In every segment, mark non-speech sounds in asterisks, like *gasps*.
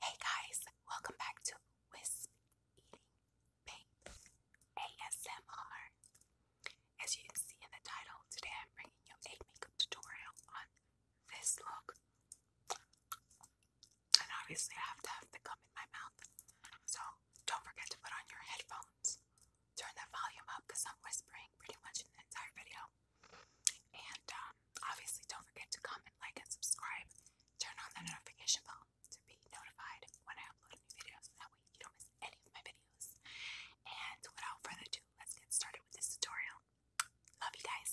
Hey guys, welcome back to Wisp Eating Paint ASMR. As you can see in the title, today I'm bringing you a makeup tutorial on this look. And obviously I have to have the gum in my mouth. So don't forget to put on your headphones. Turn the volume up because I'm whispering pretty much in the entire video. And um, obviously, don't forget to comment, like, and subscribe. Turn on the notification bell to be notified when I upload new videos. That way, you don't miss any of my videos. And without further ado, let's get started with this tutorial. Love you guys.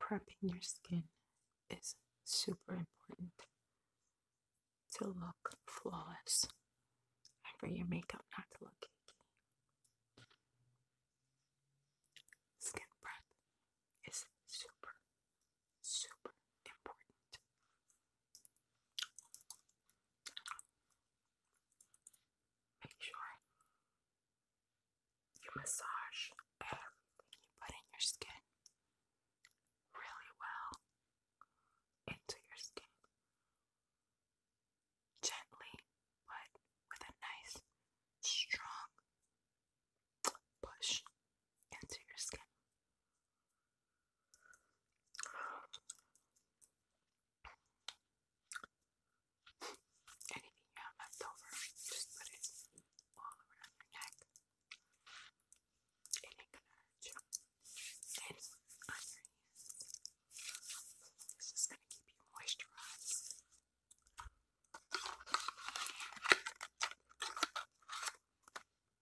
Prepping your skin is super important to look flawless and for your makeup not to look cakey. Skin prep is super, super important. Make sure you massage everything you put in your skin really well into your skin. Gently, but with a nice, strong push into your skin. Anything you have left over, just put it all around your neck. It ain't going your hands. This is gonna keep you moisturized.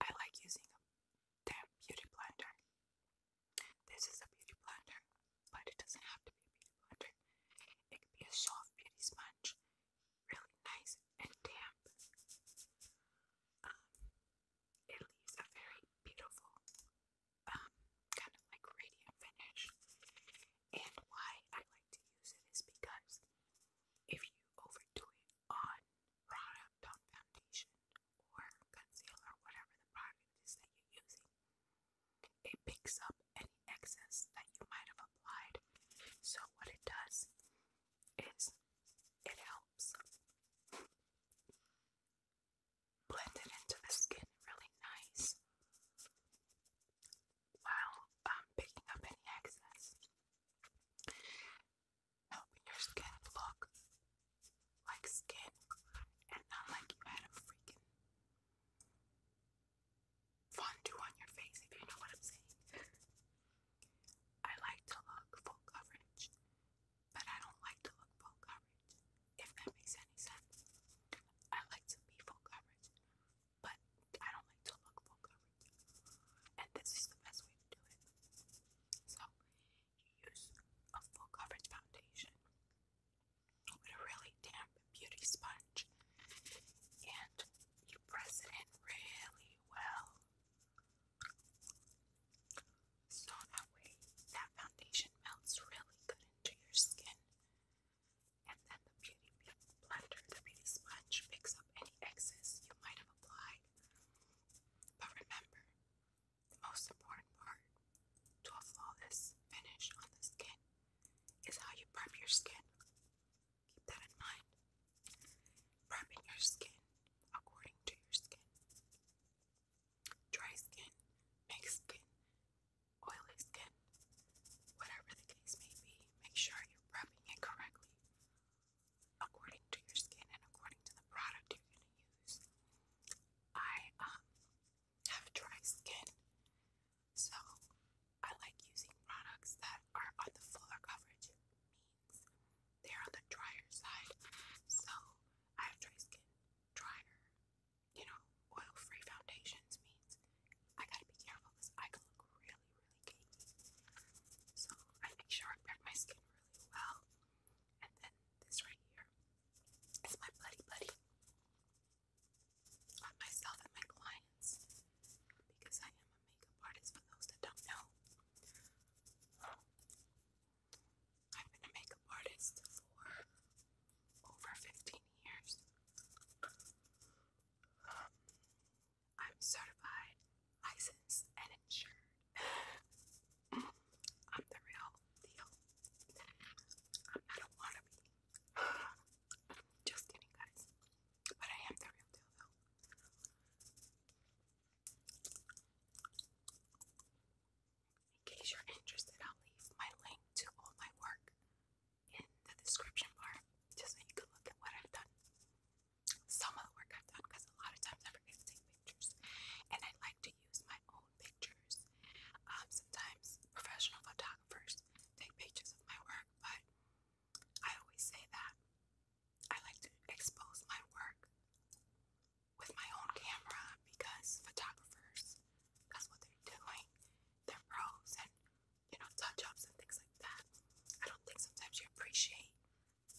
I like using the beauty blender. This is a beauty blender, but it doesn't have to be a beauty blender. It can be a soft beauty sponge, really nice and damp. Um, it leaves a very beautiful, um, kind of like radiant finish. And why I like to use it is because if you overdo it on product, on foundation, or concealer, whatever the product is that you're using, it picks up any excess that you might have applied. So, what it does it's it helps blend it into the skin really nice while um, picking up any excess, helping your skin look like skin and not like you had a freaking fondue on your face, if you know what I'm saying. I like to look full coverage, but I don't like to look full coverage, if that makes any sense. I like to be full coverage, but I don't like to look full coverage. And this is the best way to do it. So, you use a full coverage foundation with a really damp beauty sponge, and you press it in really well. So that way, that foundation melts really good into your skin. And then the beauty blender, the beauty sponge, picks up any excess you might have applied. But remember, the most important part to a flawless finish on the skin is how you prep your skin. Keep that in mind. Prepping your skin according to your skin. Dry skin, mixed skin, oily skin, whatever the case may be, make sure you're prepping it correctly according to your skin and according to the product you're going to use. I um, have dry skin, so I like using products that are on the fuller coverage, they're on the drier side, so I have dry skin. Drier, you know, oil-free foundations means I gotta be careful because I can look really, really cakey. So I make sure I prep my skin really well. And then this right here is my bloody buddy myself and my clients because I am a makeup artist for those that don't know. I've been a makeup artist for over 15 years. I'm certified, licensed, and insured. I'm the real deal. I'm not a wannabe. Just kidding, guys. But I am the real deal, though. In case you're interested, I'll leave my link to all my work in the description bar just so you can look at what I've done. Some of the work I've done because a lot of times I forget to take pictures and I like to use my own pictures. Um, sometimes professional photographers take pictures of my work, but I always say that I like to expose my work with my own camera because photographers, that's what they're doing. They're pros and, you know, touch ups and things like that. I don't think sometimes you appreciate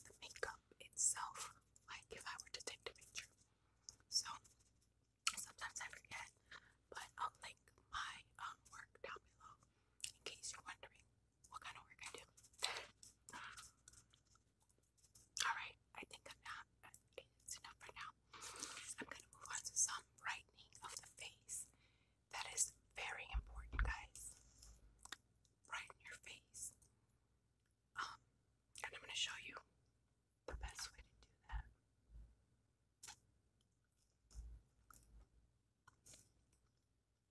the makeup itself, like if I were to take the picture. So sometimes I forget, but I'll link my um, work down below in case you're wondering what kind of work I do. Alright, I think I'm not. I uh, think it's for now. I'm going to move on to some brightening of the face. That is very important, guys. Brighten your face. Um, and I'm going to show you the best way to do that. I am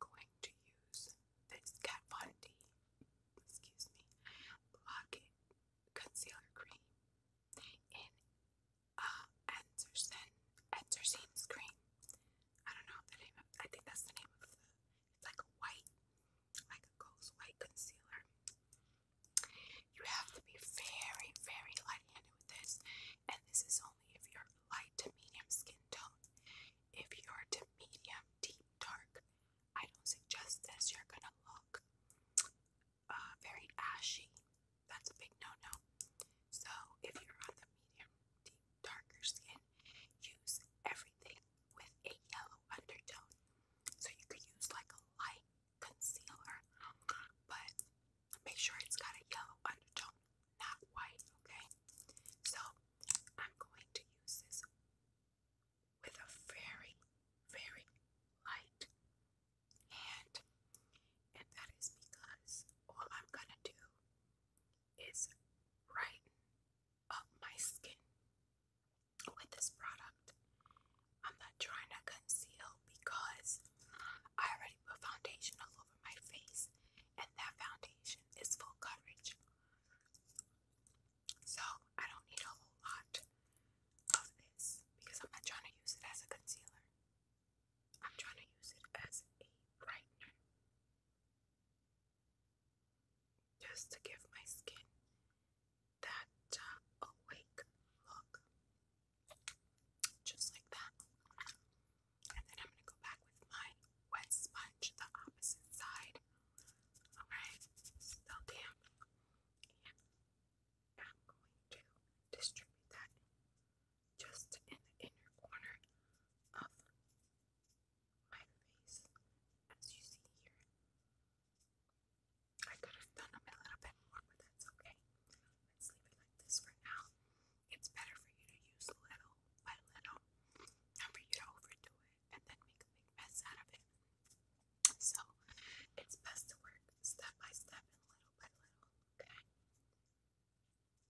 going to use this Kat Von D, excuse me, Locket Concealer Cream in uh, Anderson, Anderson's Cream I don't know the name I think that's the name of the it's like a white, like a ghost white concealer. You have to be very, very light-handed with this, and this is only if you're light to medium skin tone. If you're to medium, deep, dark, I don't suggest this. You're gonna look uh, very ashy. That's a big no-no. So if you're on the medium, deep, darker skin, use everything with a yellow undertone. So you could use like a light concealer, but make sure it's got a yellow undertone, not white, okay? So I'm going to use this with a very, very light hand, and that is because all I'm gonna do is right up my skin with this product. I'm not trying to conceal because I already put foundation all over my face, and that foundation is full coverage. So I don't need a whole lot of this because I'm not trying to use it as a concealer. I'm trying to use it as a brightener just to give my skin that uh, awake look. Just like that. And then I'm going to go back with my wet sponge, the opposite side. Alright, still damp. I'm going to distribute that just in the inner corner of my face, as you see here. I could have done a little bit more, but that's okay. Let's leave it like this for now. It's better for you to use little by little and for you to overdo it and then make a big mess out of it. So it's best to work step by step and little by little, okay?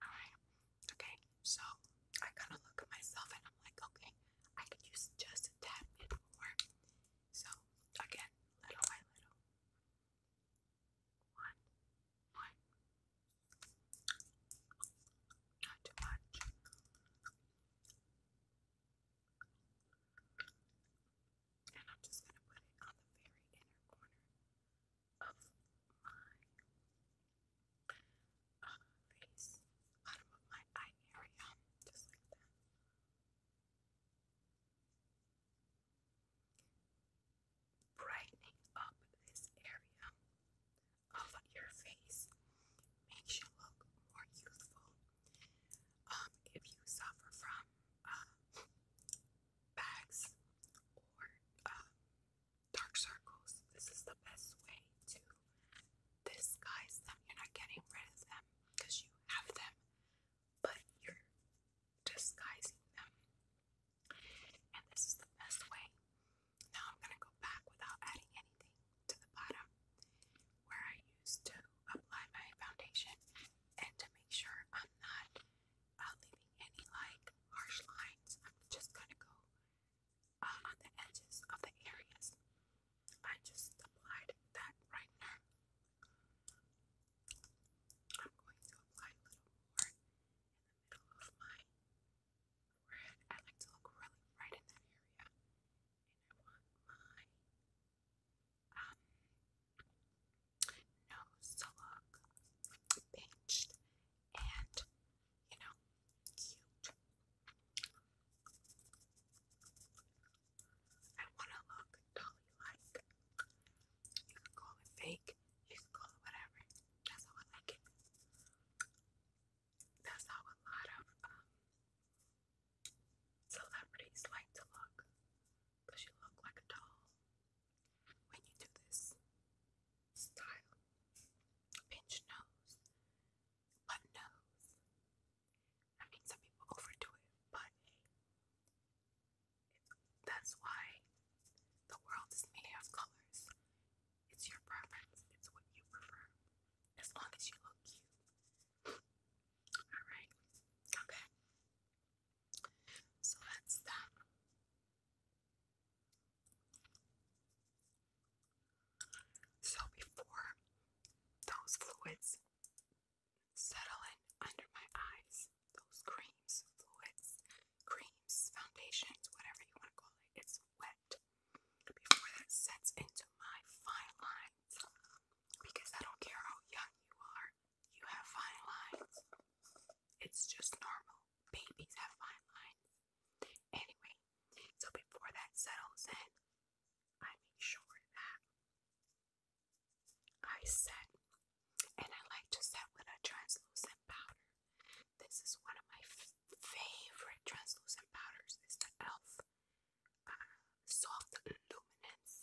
Alright, okay, so I kind of look at myself and I'm like, okay, I could use just a tad bit more. So, again, little by little. One, one. Not too much. And I'm just going to put it on the very inner corner of my uh, face, bottom of my eye area, just like that. Brightening up this area of your face makes you look more youthful um, if you suffer from um, bags or um, dark circles, this is the best way to disguise them. You're not getting rid of them because you have them, but you're disguising them. And this is the best way. Now I'm going to go back without adding anything to the bottom where I use to apply my foundation and to make sure I'm not uh, leaving any like harsh lines. I'm just gonna go uh, on the edges of the areas. I just applied that brightener. I'm going to apply a little more in the middle of my forehead. I like to look really bright in that area. And I want my um, nose to look pinched and, you know, cute. I want to look totally like. You can call it fake, you can call it whatever. That's how I like it. That's how a lot of um, Celebrities like to look because you look like a doll when you do this style. Pinch nose, butt nose. I mean, some people overdo it, but that's why the world is made of colors. It's your preference, it's what you prefer. As long as you look cute, Alright, okay. So that's that. So before those fluids settle in under my eyes, those creams, fluids, creams, foundations, whatever you want to call it, it's wet. Before that sets into my fine lines, because I don't care how young you are, you have fine lines. It's just normal. Babies have fine lines. Anyway, so before that settles in, I make sure that I set, and I like to set with a translucent powder. This is one of my favorite translucent powders. It's the e.l.f soft luminance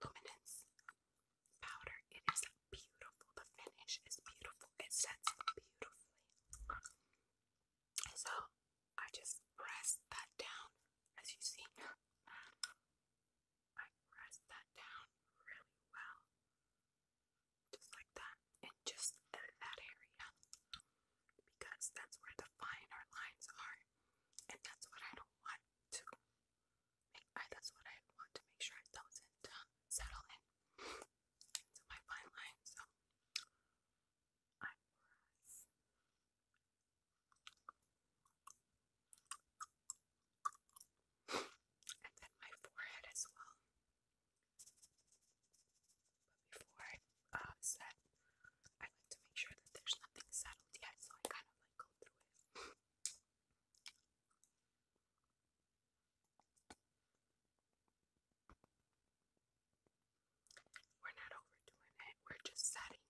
luminance powder. It is beautiful. The finish is beautiful. It sets beautifully. So I just press that down, as you see. I press that down really well, just like that, and just that area because that's where the finer lines are, and that's what I don't want to. Make, that's what I want to make sure it doesn't uh, settle into my fine line. So And then my forehead as well before uh, I set, I like to make sure that there's nothing settled yet, so I kind of like go through it. We're not overdoing it, we're just setting.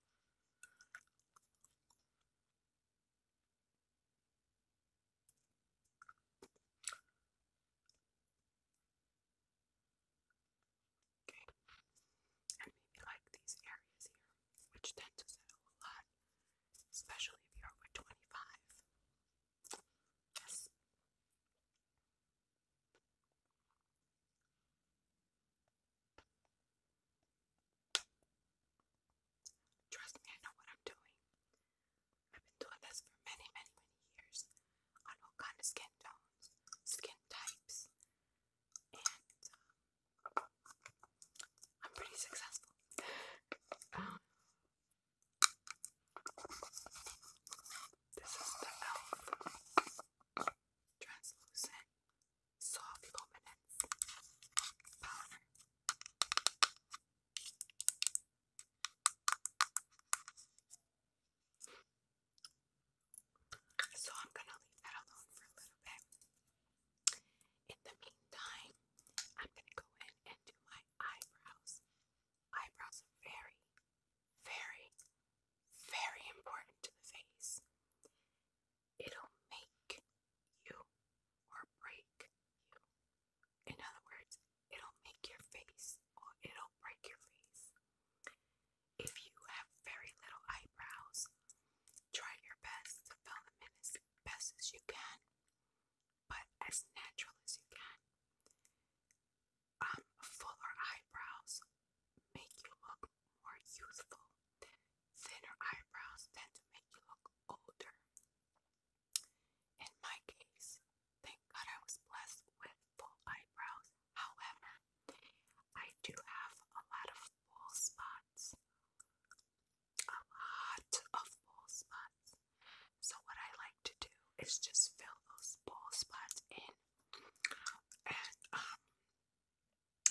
Okay. And maybe like these areas here, which tend to settle a lot, especially if you're over 25. Yes. Trust me, I know what I'm doing. I've been doing this for many, many, many years on all kind of skin tones, skin types, and um, I'm pretty successful. this is the e.l.f. Translucent Soft Luminance Powder. So I'm gonna leave that alone for a little bit. In the meantime, I'm gonna go in and do my eyebrows. Eyebrows are very, very, very important to the face. It'll make you or break you. In other words, it'll make your face or it'll break your face. If you have very little eyebrows, try your best to fill them in as best as you can, but as natural as you can. Um, fuller eyebrows make you look more youthful. Thinner eyebrows tend to make you look older. In my case, thank God I was blessed with full eyebrows. However, I do have a lot of bald spots. A lot of bald spots. So, what I like to do is just fill those bald spots in and um,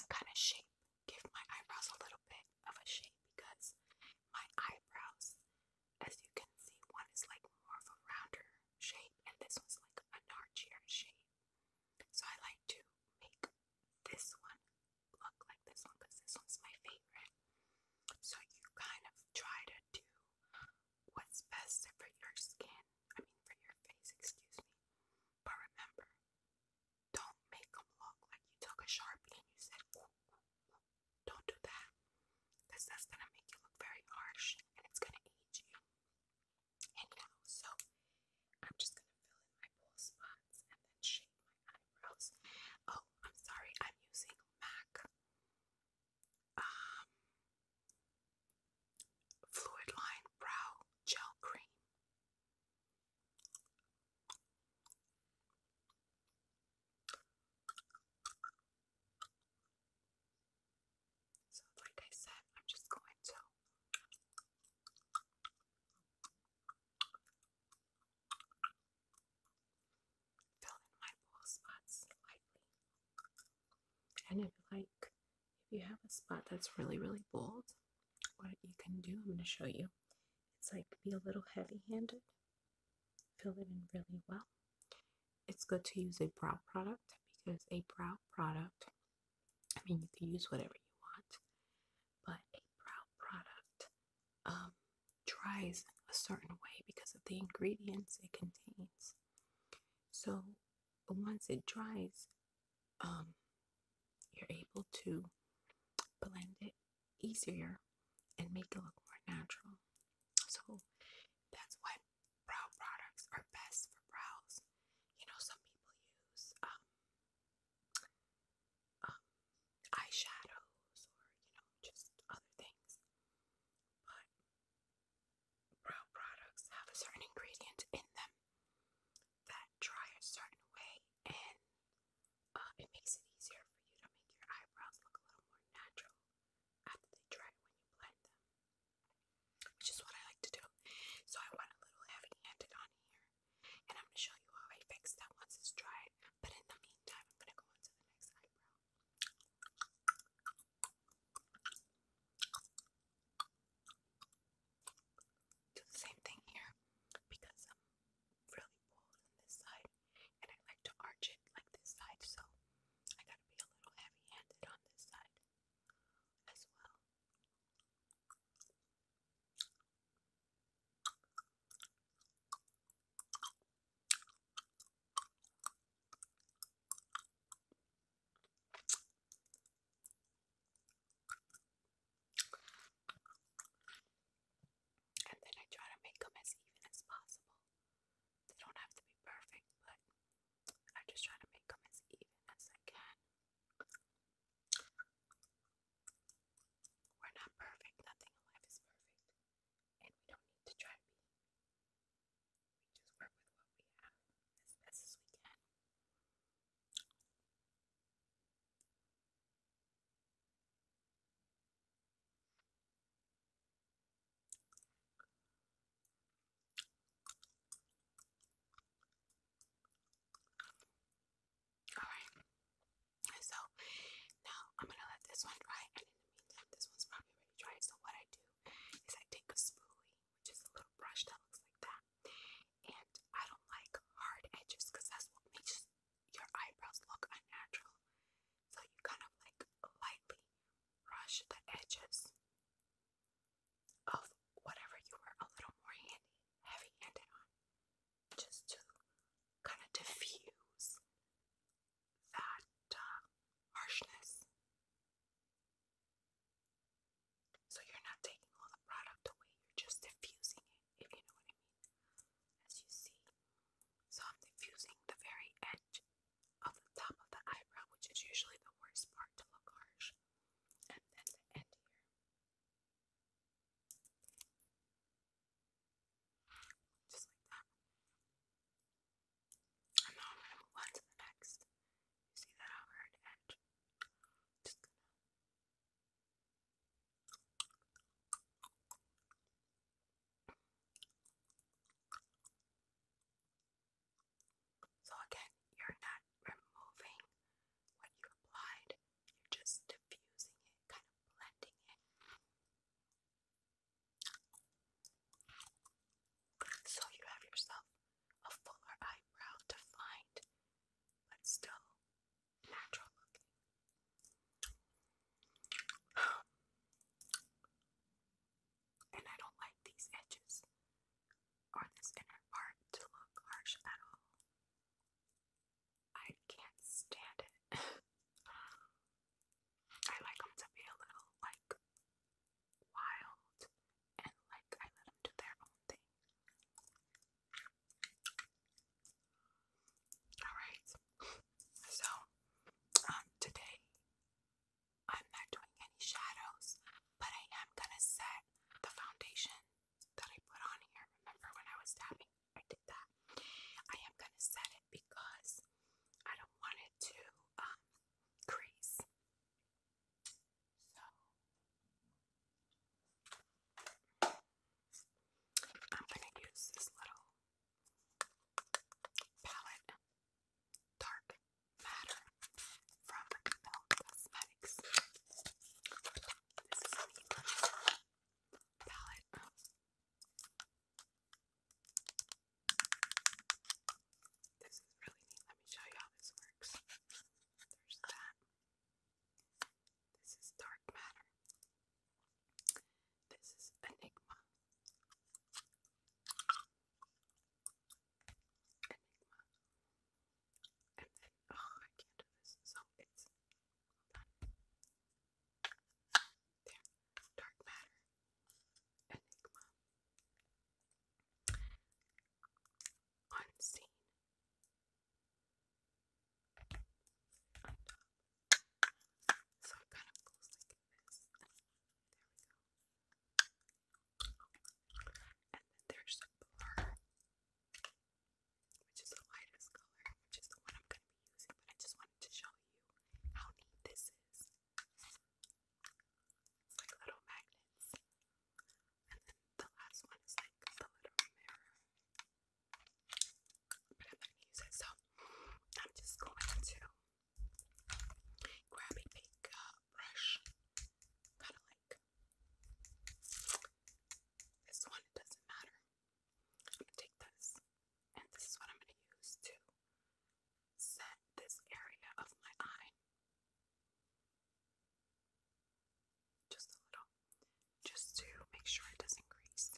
kind of shape, give my eyebrows a little bit of a shape because my eyebrows, as you can see, one is like more of a rounder shape, and this one's like an archier shape. So I like to make this one look like this one because this one's my favorite. So you kind of try to do what's best for your skin, I mean for your face, excuse me. But remember, don't make them look like you took a sharpie and you said, don't do that because that's going to make you look very harsh and it's going to age you and now. So I'm just gonna fill in my bowl spots and then shape my eyebrows. Oh, I'm sorry, I'm using MAC um Fluid Line Brow Gel Cream. So, like I said, I'm just going to fill in my ball spots lightly. And if like if you have a spot that's really really bold, what you can do, I'm gonna show you. It's like be a little heavy handed, fill it in really well, it's good to use a brow product because a brow product, I mean, you can use whatever you want, but a brow product um, dries a certain way because of the ingredients it contains. So once it dries, um, you're able to blend it easier and make it look more natural. So that's why brow products are best for brows. You know, some people use um, um, eyeshadows or, you know, just other things. But brow products have a certain ingredient in them that dry a certain way and uh, it makes it easier for you to make your eyebrows look a little more natural after they dry when you blend them which is what I like to do. So I want a little heavy-handed on here, and I'm going to show you how I fix that once it's dry. But in the meantime, I'm going to go on the next eyebrow. Do the same thing here because I'm really bold on this side and I like to arch it like this side, so I gotta be a little heavy handed on this side as well. And then I try to make them as even as possible. They don't have to be perfect, but I just try to make them as even as I can. We're not perfect, nothing in life is perfect, and we don't need to try to be. We just work with what we have as best as we can. Alright. So now I'm gonna let this one dry and in the meantime this one's probably already dry. So what I do is I take a spoolie, which is a little brush that looks like that. And I don't like hard edges because that's what makes your eyebrows look unnatural. So you kind of like lightly brush the edges of whatever you were a little more handy, heavy handed on, just to kind of diffuse that uh, harshness. So you're not taking all the product away, you're just diffusing it, if you know what I mean. As you see, so I'm diffusing the very edge of the top of the eyebrow, which is usually the worst part to look harsh, and then the end here. Just like that. And now I'm going to move on to the next. You see that outer edge? Just gonna so again, you're not removing what you applied, you're just diffusing it, kind of blending it. So you have yourself a fuller eyebrow defined, but still natural and I don't like these edges or this inner part to look harsh at all. I can't stand it. *laughs* I like them to be a little like wild and like I let do their own thing. Alright, so um, today I'm not doing any shadows, but I am gonna set the foundation that I put on here. Remember when I was tapping, I did that. I am gonna set it because I don't want it to um, crease. So I'm gonna use this little palette dark matter from Milk Cosmetics. This is neat palette. This is really neat. Let me show you how this works. There's that. This is dark matter. This is Enigma. Enigma. And oh, I can't do this. So it's, Dark Matter. Enigma. Unseen. So it kind of goes like this. There we go. And then there's blur, which is the lightest color, which is the one I'm going to be using, but I just wanted to show you how neat this is. It's like little magnets. And then the last one is like the little mirror. But I'm going to use it, so I'm just going to grab a big uh, brush, kind of like this one, it doesn't matter. I'm gonna take this, and this is what I'm gonna use to set this area of my eye. Just a little, just to make sure it doesn't crease.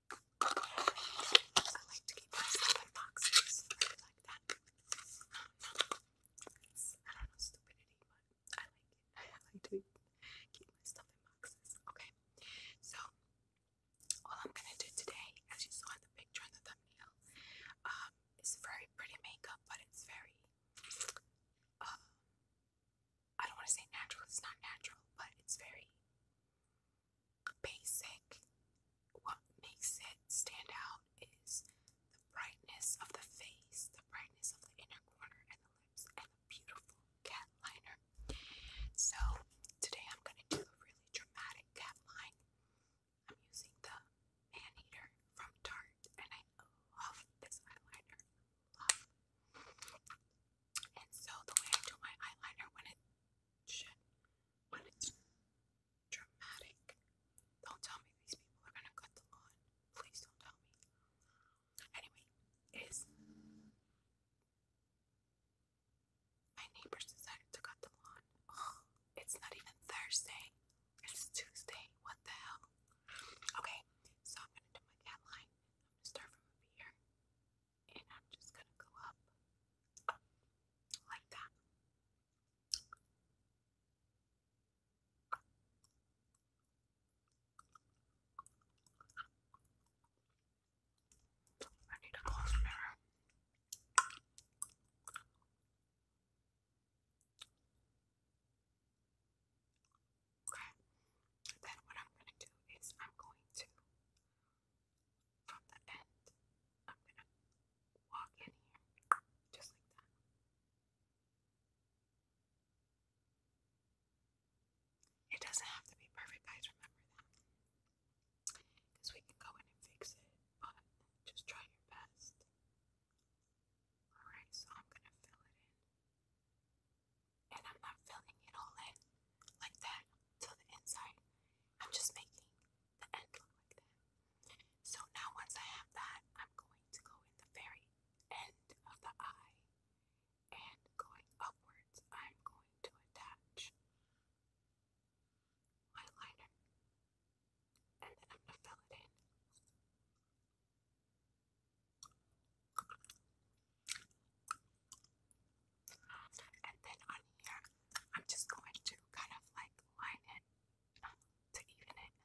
I like to keep my stuff in boxes like that. I don't know, stupidity, but I like it. I like to keep my stuff in boxes. Okay, so all I'm gonna do today, as you saw in the picture in the thumbnail, um, is very pretty makeup, but it's very, uh, I don't want to say natural, it's not natural, but it's very basic. What makes it stand out is the brightness of the face, the brightness of the inner corner and the lips, and the beautiful cat liner. So, today I'm going to do a really dramatic cat line. I'm using the Maneater from Tarte, and I love this eyeliner. Love. And so the way I do my eyeliner when it when it's dramatic, don't tell me these people are gonna cut the lawn. Please don't tell me. Anyway, is my neighbors decided to cut the lawn. Oh, it's not even Thursday. It's Tuesday. What the hell? Okay, so I'm gonna do my cat line. I'm gonna start from up here and I'm just gonna go up like that. I need a close mirror. Okay, then what I'm going to do is I'm going to from the end. I'm gonna walk in here just like that. It doesn't have to be perfect, guys. Remember that. Because we can go in and fix it, just try your best. Alright, so I'm gonna fill it in and I'm not filling it all in like that to the inside. I'm just making the end look like that. So now once I have that, I'm going to go in the very end of the eye and going upwards, I'm going to attach my and then I'm going to fill it in. And then on here, I'm just going to kind of like line it um, to even it.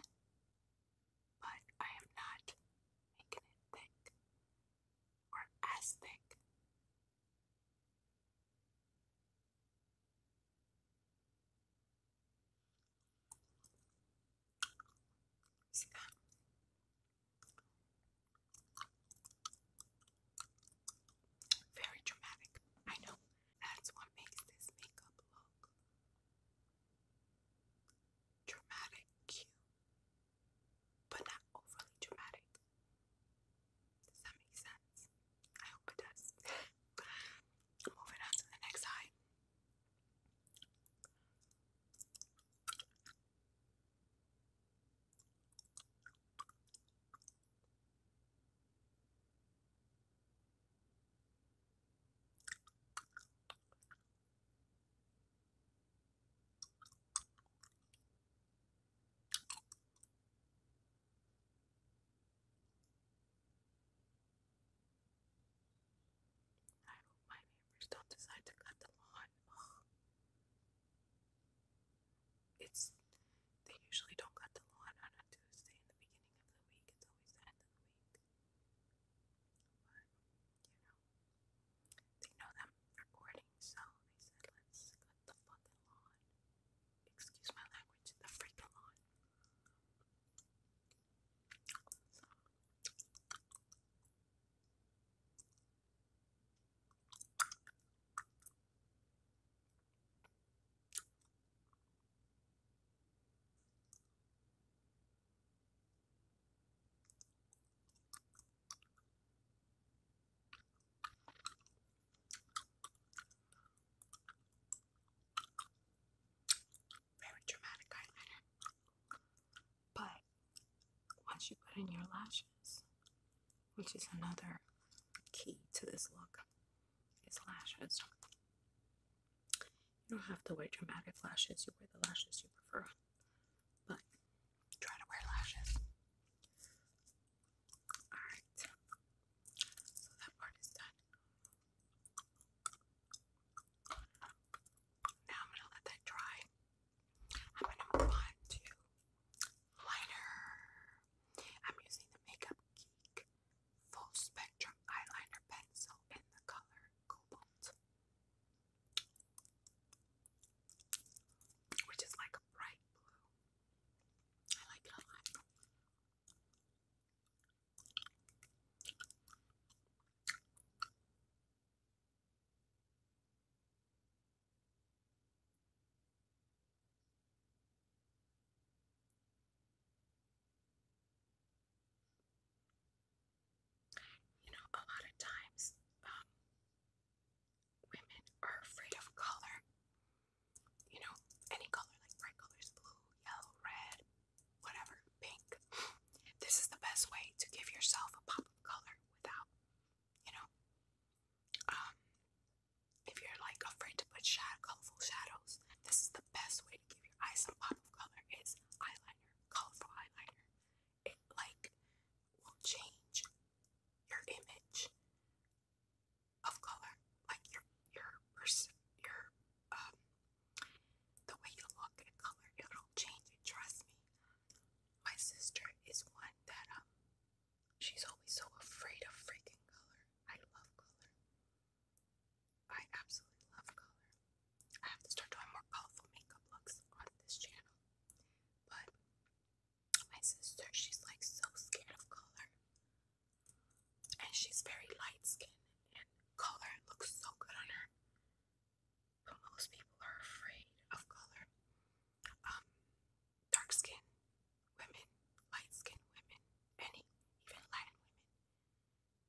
But I am not making it thick or as thick. Very dramatic. I know. That's what makes this makeup look dramatic, cute, but not overly dramatic. Does that make sense? I hope it does. Moving on to the next eye. I hope my neighbors don't decide to cut the lawn it's they usually don't cut the lawn on a Tuesday in the beginning of the week. It's always end of the week. But you know, they know that recording, so they said, "Let's cut the fucking lawn." Excuse my language. The freaking lawn. Very dramatic, I But once you put in your lashes, which is another key to this look, is lashes. You don't have to wear dramatic lashes, you wear the lashes you prefer, but try to wear lashes. Alright, so that part is done. Now I'm going to let that dry I'm going to move on to I'm using the Makeup Geek Full Spectrum Eyeliner Pencil in the color Cobalt, which is like a bright blue. I like it you know, a lot of times um, women are afraid of color. You know, any color, like bright colors, blue, yellow, red, whatever, pink. This is the best way to give yourself a pop of color without, you know, um, if you're like afraid to put shadow, colorful shadows, this is the best way to give your eyes some pop of color. Is eyeliner, colorful eyeliner. It like will change your image of color, like your your person, your um, the way you look at color. It'll change Trust me. My sister is one that, um, she's always so afraid of freaking color. I love color. I absolutely love color. I have to start doing more colorful makeup looks on this channel. But my sister, she's like so scared of color. And she's very light skinned, and color looks so good on her but most people are afraid of color. Um, dark skin women, light skin women, any, even Latin women,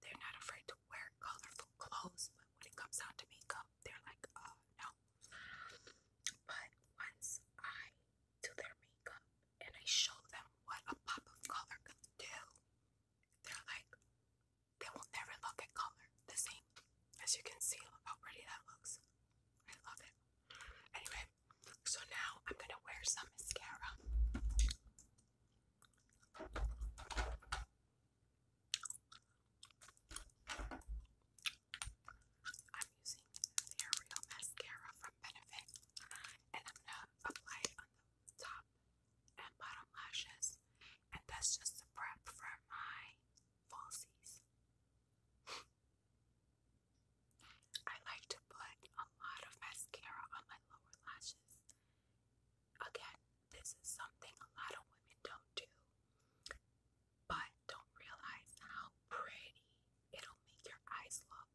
they're not afraid to wear colorful clothes, but when it comes down to makeup, they're like, uh, no. But once I do their makeup and I show them what a pop of color can do, they're like, they will never look at color the same. As you can see, how pretty that looks. I love it. Anyway, so now I'm gonna wear some mascara. I'm using the Ariel mascara from Benefit, and I'm gonna apply it on the top and bottom lashes, and that's just the prep for my falsies. I like to put a lot of mascara on my lower lashes. Again, this is something a lot of women don't do, but don't realize how pretty it'll make your eyes look.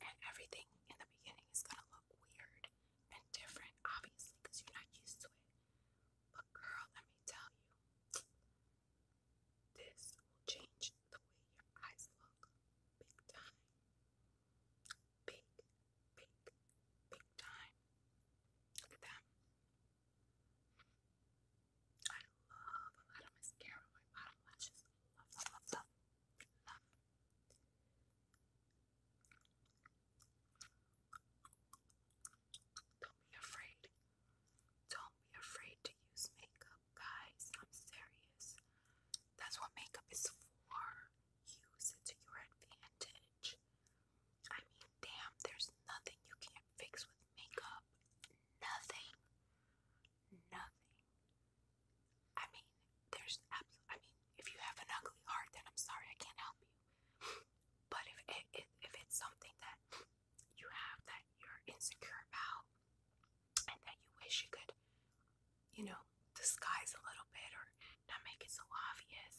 And everything in the beginning is gonna look weird and different, obviously, because you're not used to it. But girl, let me tell you, this will change the way your eyes look big time. Big, big, big time. Look at them. I love a lot of mascara on bottom lashes. love, love, love, love. Don't be afraid. Don't be afraid to use makeup, guys. I'm serious. That's what makeup is for. Use it to your advantage. I mean, damn, there's nothing you can't fix with makeup. Nothing. Nothing. I mean, there's absolutely. I mean, if you have an ugly heart, then I'm sorry, I can't help you. *laughs* But if it, if, it's something that you have that you're insecure about and that you wish you could, you know, disguise a little bit or not make it so obvious,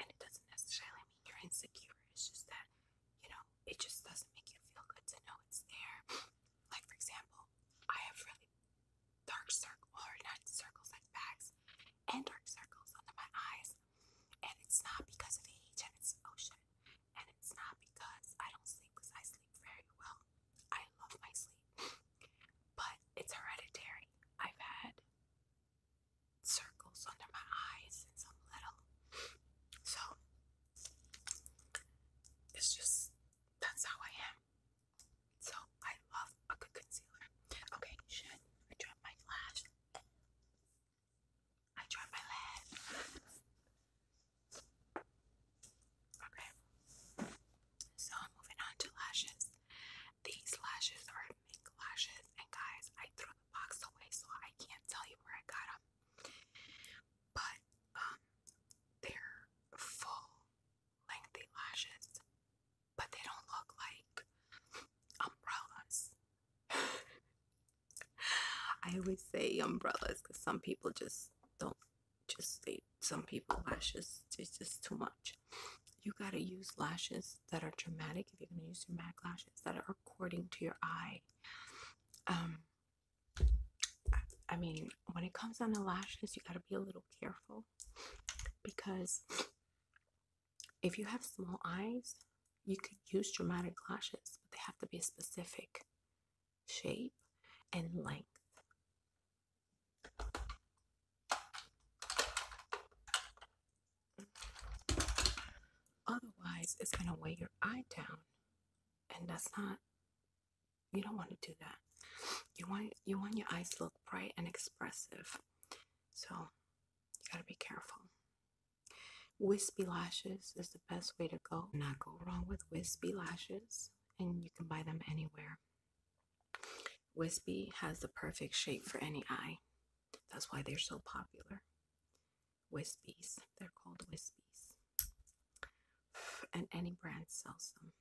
and it doesn't necessarily mean you're insecure, it's just that, you know, it just doesn't make you feel good to know it's there. *sniffs* Like, for example, I have really dark circles, or not circles, like bags, and dark circles under my eyes. And it's not because of age and it's ocean. And it's not because I don't sleep because I sleep very well. I love my sleep. but it's hereditary. I've had circles under my eyes since I'm little. So it's just that's how I am. So I love a good concealer. Okay, should I drop my glass? I tried my lad. okay. So I'm moving on to lashes. These lashes are mink lashes, and guys, I threw the box away, so I can't tell you where I got them. But um, they're full lengthy lashes but they don't look like umbrellas. *laughs* I always say umbrellas because some people just don't just they some people lashes it's just too much. You gotta use lashes that are dramatic if you're gonna use dramatic lashes that are according to your eye. Um I, I mean when it comes down to lashes you gotta be a little careful because if you have small eyes, you could use dramatic lashes, but they have to be a specific shape and length. Otherwise, it's going to weigh your eye down, and that's not. You don't want to do that. You want you want your eyes to look bright and expressive. So you gotta be careful. Wispy lashes is the best way to go. Not go wrong with wispy lashes, and you can buy them anywhere. Wispy has the perfect shape for any eye. That's why they're so popular. Wispies, they're called wispies. And any brand sells them.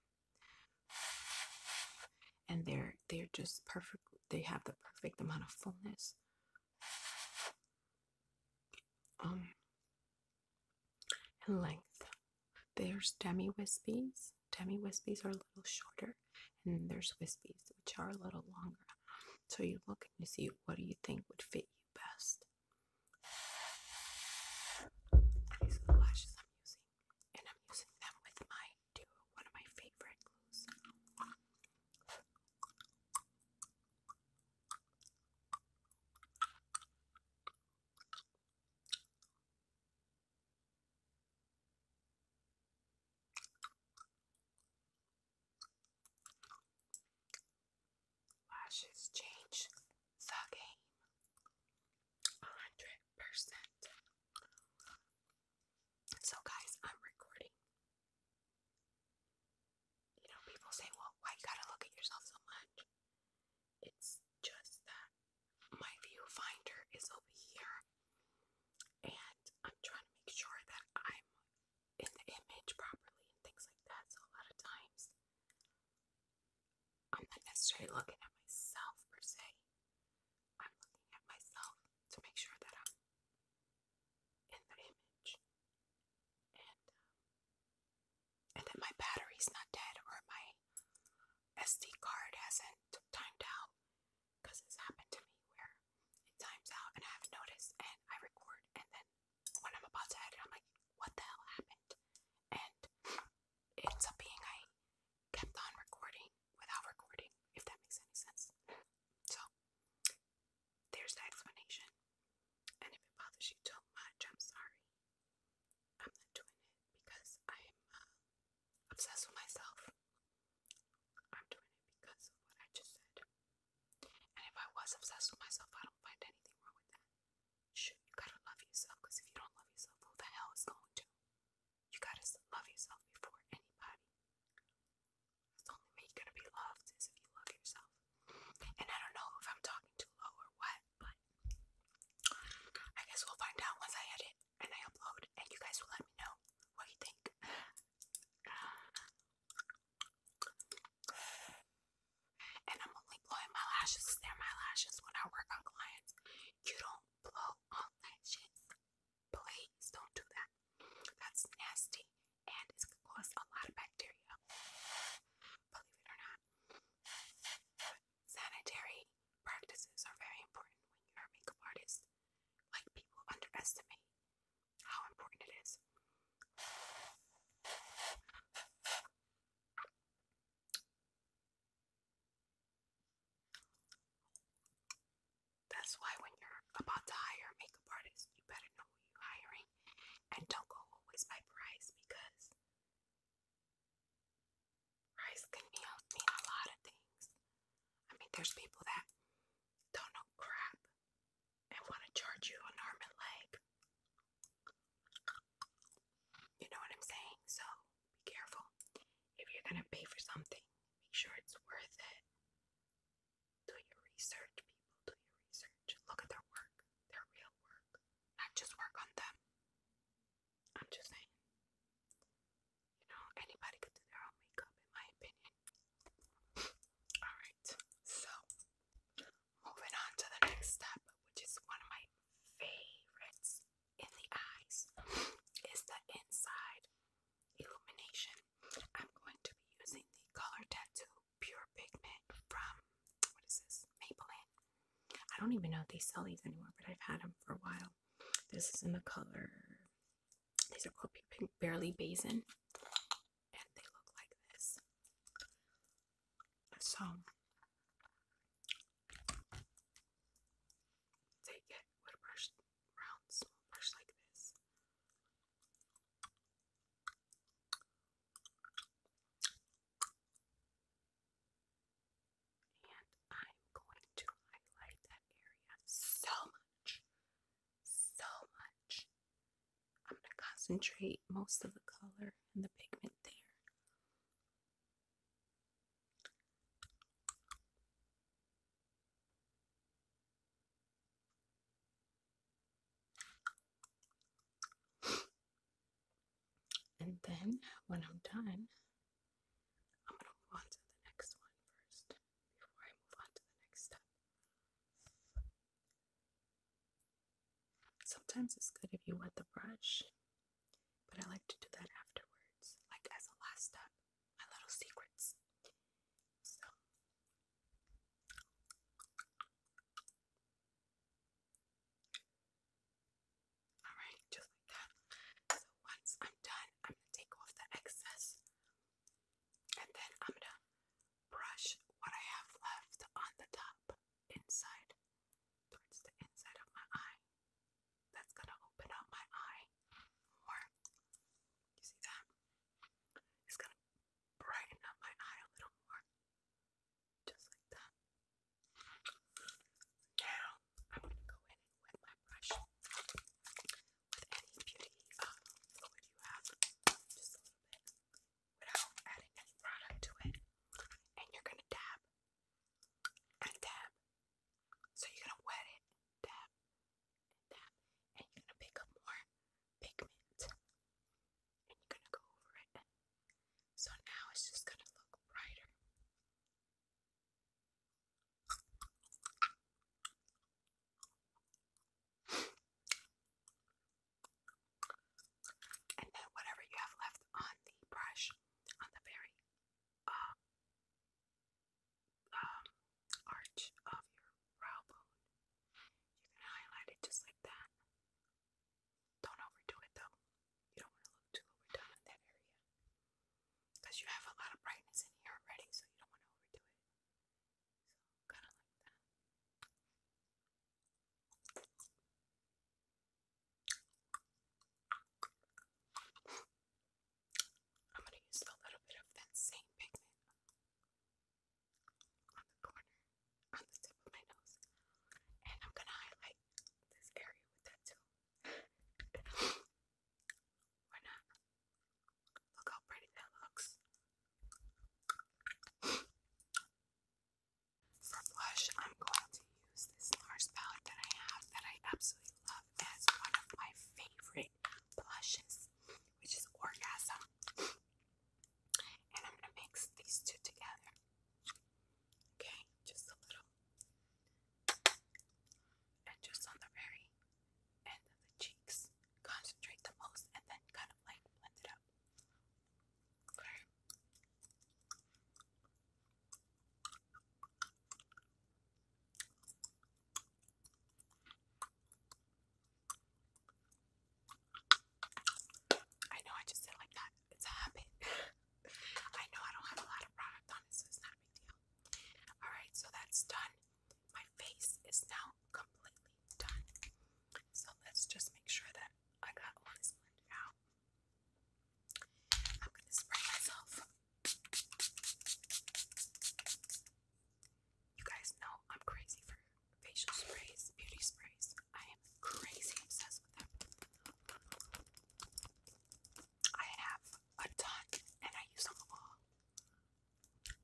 And they're they're just perfect they have the perfect amount of fullness. Um, length. There's demi wispies. Demi wispies are a little shorter, and there's wispies which are a little longer. So you look and you see what do you think would fit you best. These are the lashes I'm using, and I'm using them with my to one of my favorite clues. Lashes change the game. 100%. So, guys, I'm recording. You know, people say, well, why you gotta look at yourself so much? It's just that my viewfinder is over here, and I'm trying to make sure that I'm in the image properly and things like that. So, a lot of times, I'm not necessarily looking at myself per se, I'm looking at myself to make sure that I'm in the image and um, and that my battery's not dead or my SD card hasn't timed out because it's happened to me where it times out and I haven't noticed and I record and then when I'm about to edit I'm like what the hell happened and it ends up being I kept on recording without recording, if that makes any sense. So, there's the explanation. And if it bothers you too much, I'm sorry. I'm not doing it because I'm uh, obsessed with myself. I'm doing it because of what I just said. And if I was obsessed with myself, I don't find anything wrong with that. you gotta love yourself because if you don't love yourself, who the hell is going to? You gotta love yourself before anybody. The only way you're gonna be loved is if you love yourself. And I don't know if I'm talking too low or what, but I guess we'll find out once I edit and I upload, and you guys will let me know what you think. And I'm only blowing my lashes, they my lashes when I work on clients. You don't blow on Please don't do that. That's nasty and it's going to cause a lot of bacteria. Believe it or not. But sanitary practices are very important when you're a makeup artist. Like people underestimate how important it is. That's why when you're about to hire a makeup artist, you better know who you're hiring and don't go always by price because price can um, mean a lot of things. I mean, there's people that don't know crap and want to charge you an arm and leg. You know what I'm saying? So be careful. If you're going to pay for something, make sure it's worth it. Do your research, people. Do your research. Look at their work, their real work, not just work on them. I'm just saying. You know, anybody could do their own makeup, in my opinion. *laughs* Alright, so moving on to the next step, which is one of my favorites in the eyes, *gasps* is the inside illumination, I'm going to be using the Color Tattoo Pure Pigment from, what is this, Maybelline. I don't even know if they sell these anymore, but I've had them for a while. This is in the color, these are called Pink Barely Basin, and they look like this. So, take it with a brush round small brush like this. And I'm going to highlight that area so much, so much. I'm going to concentrate most of the color and the pigment there. And then when I'm done, I'm going to move on to the next one first before I move on to the next step. Sometimes it's good if you wet the brush, but I like to do that afterwards, like as a last step my little secrets. Alright, just like that. So once I'm done, I'm gonna take off the excess and then I'm gonna brush what I have left on the top inside towards the inside of my eye that's gonna open up my eye more. You see that? It's gonna brighten up my eye a little more. Just like that. Now I'm gonna go in and wet my brush with any beauty um, you have. Just a little bit. Without adding any product to it. And you're gonna dab and dab. So you're gonna wet it, dab, and that, and you're gonna pick up more pigment, and you're gonna go over it. So now it's just gonna look brighter. And then whatever you have left on the brush, on the very uh, um, arch of your brow bone. You can highlight it just like that. Don't overdo it though. You don't want to look too overdone in that area. Because you have a lot of brightness in here already, so you don't want to overdo it. So, kind of like that. I'm going to use a little bit of that same pigment on the corner, on the tip of my nose, and I'm going to highlight this area with that too. *laughs* Why not? Look how pretty that looks. For blush, I'm going to use this NARS palette that I have that I absolutely love as one of my favorite blushes, which is orgasm. And I'm gonna mix these two together. Okay, just a little. And just on the very end of the cheeks, concentrate the most and then kind of like blend it up. Okay. I know I just said like that. It's a habit. *laughs* I know I don't have a lot of product on so it's not a big deal. Alright, so that's done. My face is now completely done. So let's just make sure that I got all this blended out. I'm gonna spray myself. You guys know I'm crazy for facial sprays, beauty sprays. I am crazy obsessed with them. I have a ton and I use them all.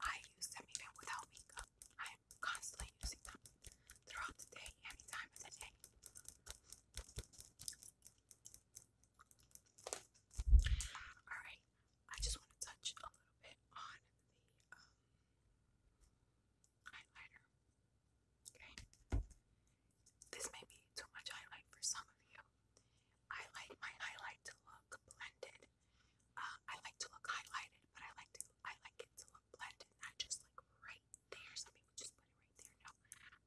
I use them even without makeup. I'm constantly using them throughout the day, any of the day. Alright, I just want to touch a little bit on the highlighter. Um, okay? This may be too much highlight for some of you. I like my highlight to look blended. Uh, I like to look highlighted, but I like to I like it to look blended, not just like right there. Some people just put it right there. No,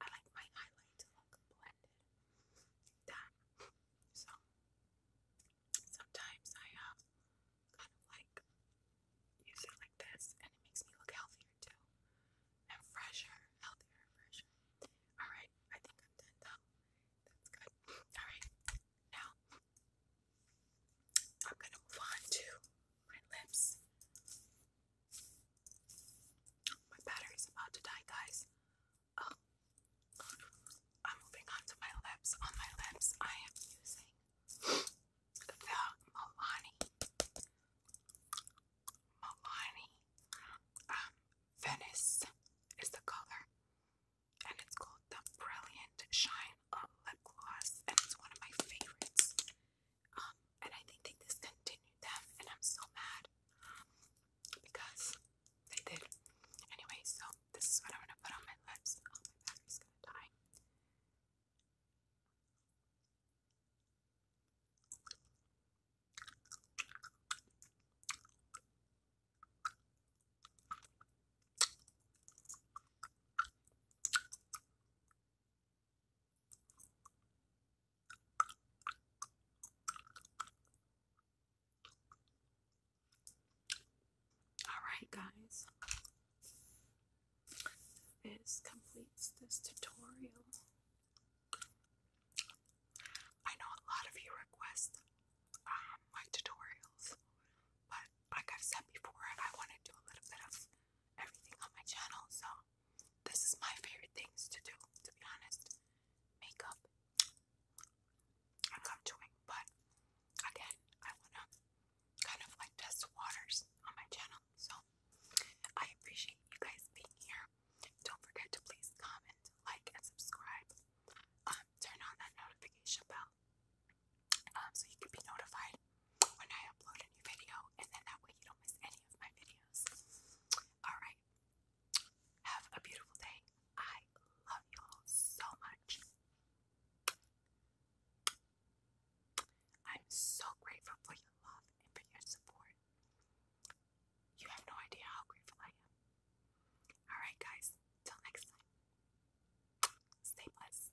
I like my highlight to look blended blended. Done. So sometimes I uh, kind of like use it like this and it makes me look healthier too. And fresher, healthier, fresher. Alright, I think I'm done though. That's good. Alright, now I'm gonna move on to my lips. My battery's about to die, guys. I'm moving on to my lips. On my lips, I am using the Milani Milani um, Venice is the color, and it's called the Brilliant Shine Up Lip Gloss, and it's one of my favorites. Um, and I think they discontinued them, and I'm so mad because they did. Anyway, so this is what I'm gonna put on my lips. Oh, my battery's gonna die. Alright guys, this completes this tutorial. I know a lot of you request um, my tutorials, but like I've said before, I want to do a little bit of everything on my channel, so this is my favorite things to do, to be honest makeup and contouring, but again, I wanna kind of like test waters on my channel. So I appreciate you guys being here. Don't forget to please comment, like, and subscribe. Um, turn on that notification bell um, so you can be notified when I upload a new video, and then that way you don't miss any of my videos. Alright, have a beautiful day. I love y'all so much. I'm so grateful for your love and for your support. You have no idea how grateful I am. Alright, guys, till next time. Stay blessed.